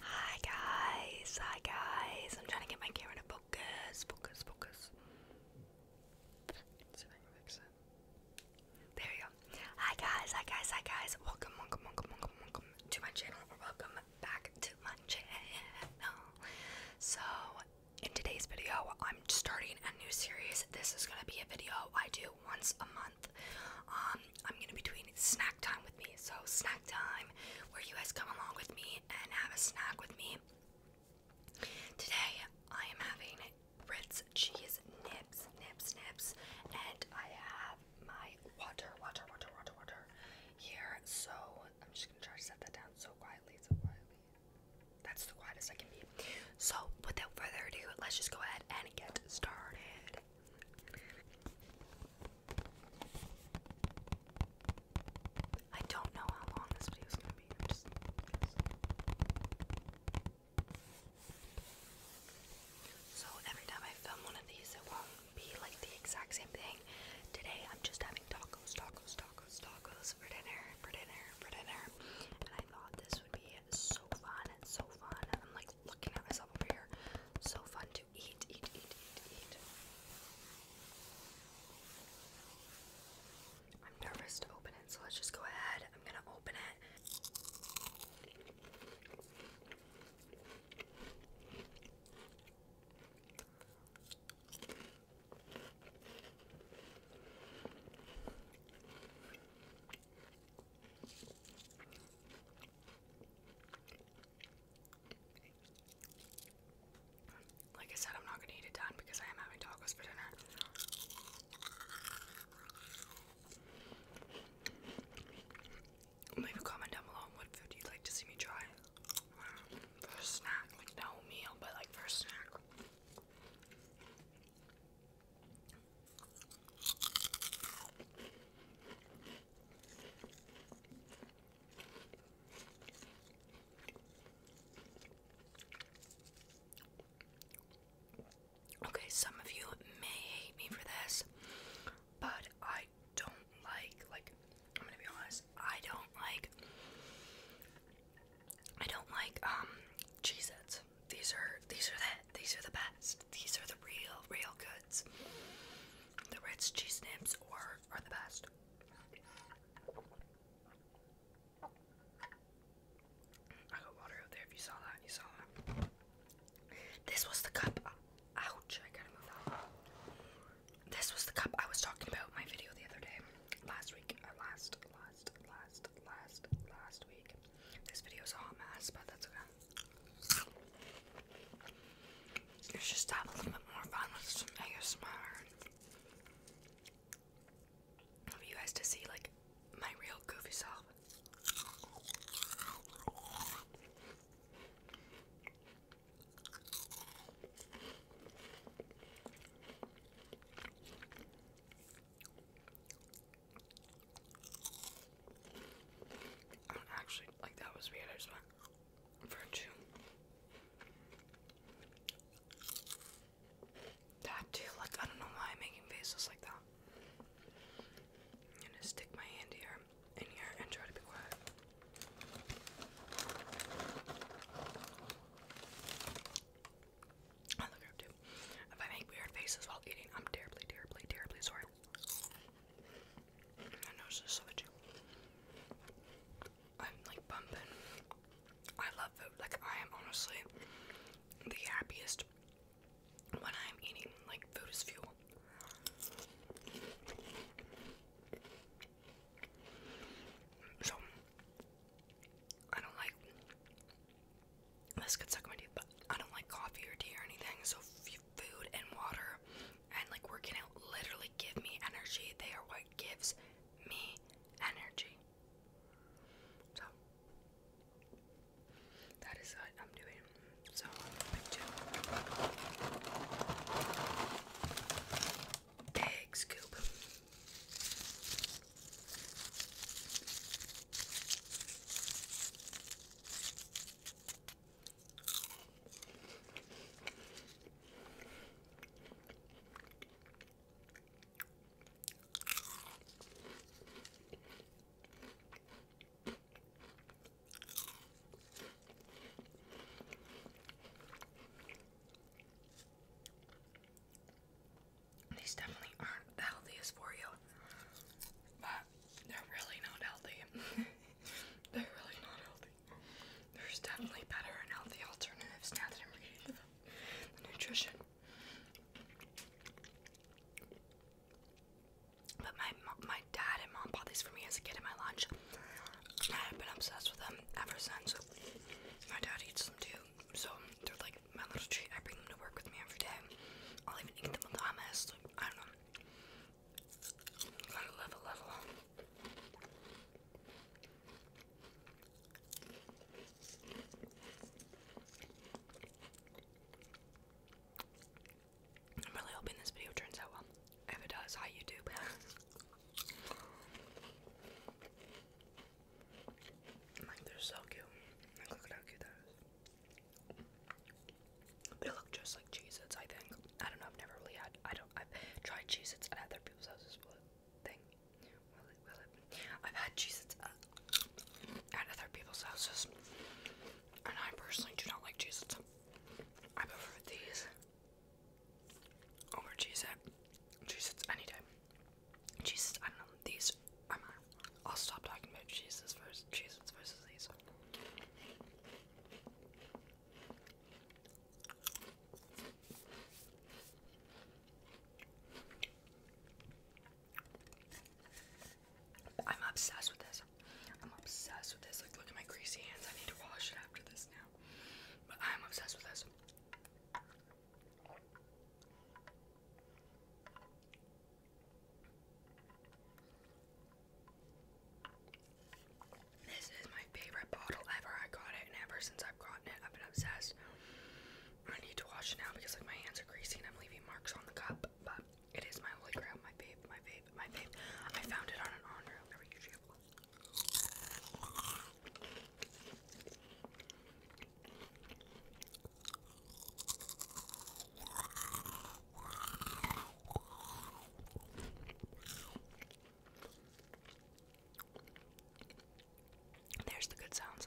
Hi guys, hi guys. I'm trying to get my camera to focus, focus, focus. There you go. Hi guys, hi guys, hi guys. Welcome, welcome, welcome, welcome, welcome to my channel. Or welcome back to my channel. So, in today's video, I'm starting a new series. This is gonna be a video I do once a month world. Um, I'm gonna be doing snack time with me. So snack time, where you guys come along with me and have a snack with me. Today I am having Ritz cheese nips, nips, nips, and I have my water, water, water, water, water here. So I'm just gonna try to set that down so quietly, so quietly. That's the quietest I can be. So without further ado, let's just go ahead and get started. I don't know how long this video is going to be. So every time I film one of these, it won't be like the exact same thing. Today I'm just having tacos, tacos, tacos, tacos for dinner, for dinner, for dinner. And I thought this would be so fun and so fun. I'm like looking at myself over here. So fun I'm nervous to open it, so let's just go ahead. I'm gonna open it. Like I said, I'm not gonna eat it done because I am having tacos for dinner. Leave a comment down below what food you like to see me try. For a snack, like no meal, but like for a snack. Okay, some of you may hate me for this, but I don't like like I'm gonna be honest, I don't like I don't like um Cheez These are these are that these are the best. These are the real, real good the Reds cheese snips are, are the best. This was the cup. Ouch, I gotta move that. This was the cup I was talking about in my video the other day. Last week, or last, last, last, last, last week. This video is a hot mess, but that's okay. Let's just have a little bit more fun with some ASMR. I want you guys to see like my real goofy self. I don't actually like that was weird. I just for two. That too, like I don't know why I'm making faces like that. I'm gonna stick my hand here in here and try to be quiet. I look up too. If I make weird faces while eating, I'm terribly, terribly, terribly sorry. My nose is so itchy. I'm like bumping. I love food. Like I am honestly the happiest when I'm eating. Like food is fuel. So I don't like this could suck my teeth, but I don't like coffee or tea or anything. So food and water and like working out literally give me energy. They are what gives me energy. So that is what I'm doing. So egg scoop. These definitely aren't the healthiest for you, they're really not healthy. they're really not healthy. There's definitely better and healthy alternatives now that I'm reading the, the nutrition. But my my dad and mom bought these for me as a kid in my lunch. I've been obsessed with them ever since. My dad eats them too, so they're like my little treat. I bring them to work with me every day. I'll even eat them with hummus. Like, I don't know. got level. I'm really hoping this video turns out well. If it does, hi YouTube. like they're so cute. look how cute that is. They look just like Cheez Its, I think. I don't know, I've never really had I don't I've tried Cheez Its at other people's houses will it thing. Will it will it I've had Cheez Its at, at other people's houses. And I personally do not like Cheez Its. I prefer these over Cheez It. Cheez Its any day. Cheez Its, I don't know, these i I'll stop talking about Jesus first. Jesus versus these. I'm obsessed with this. I'm obsessed with this. Like, look at my greasy hands. I need to wash it after this now. But I'm obsessed with this. This is my favorite bottle ever. I got it, and ever since I've gotten it, I've been obsessed. I need to wash it now because like my hands are greasy and I'm leaving marks on the cup. But it is my holy grail, my babe, my babe, my babe. I found it on an on rail. Never there's the good sounds.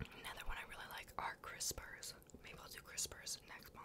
Another one I really like are crispers. Maybe I'll do crispers next month.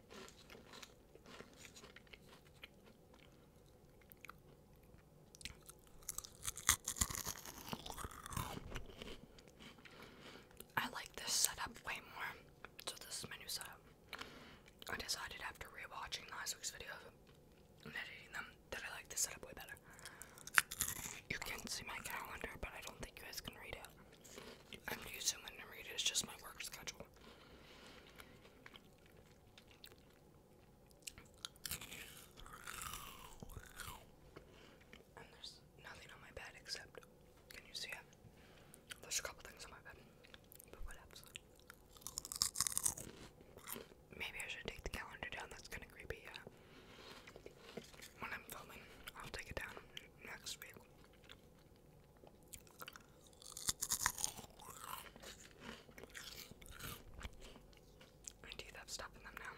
I like this setup way more. So this is my new setup. I decided after rewatching last week's videos and editing them that I like this setup way better. You can see my calendar, but I don't think you guys can read it. I'm using it to read it. It's just my work schedule. And there's nothing on my bed except, can you see it? There's a couple things on my bed, but what Maybe I should take the calendar down. That's kind of creepy. Yeah. When I'm filming, I'll take it down next week. My teeth have stuff in them now.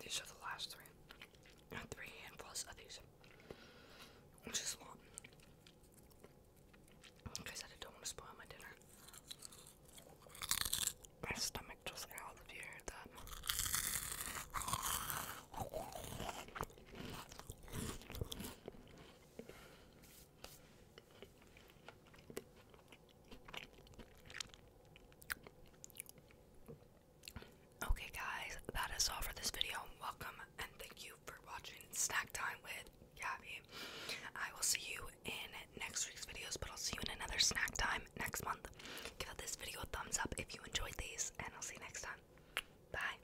These are the last three. And three handfuls of these. Which is a lot. Like I don't want to spoil my dinner. My stomach just growled if you heard that. Okay, guys, that is all for this video. Welcome and thank you for watching Snack Time with Gabby. I will see you in next week's videos, but I'll see you in another snack time next month. Give this video a thumbs up if you enjoyed these, and I'll see you next time. Bye.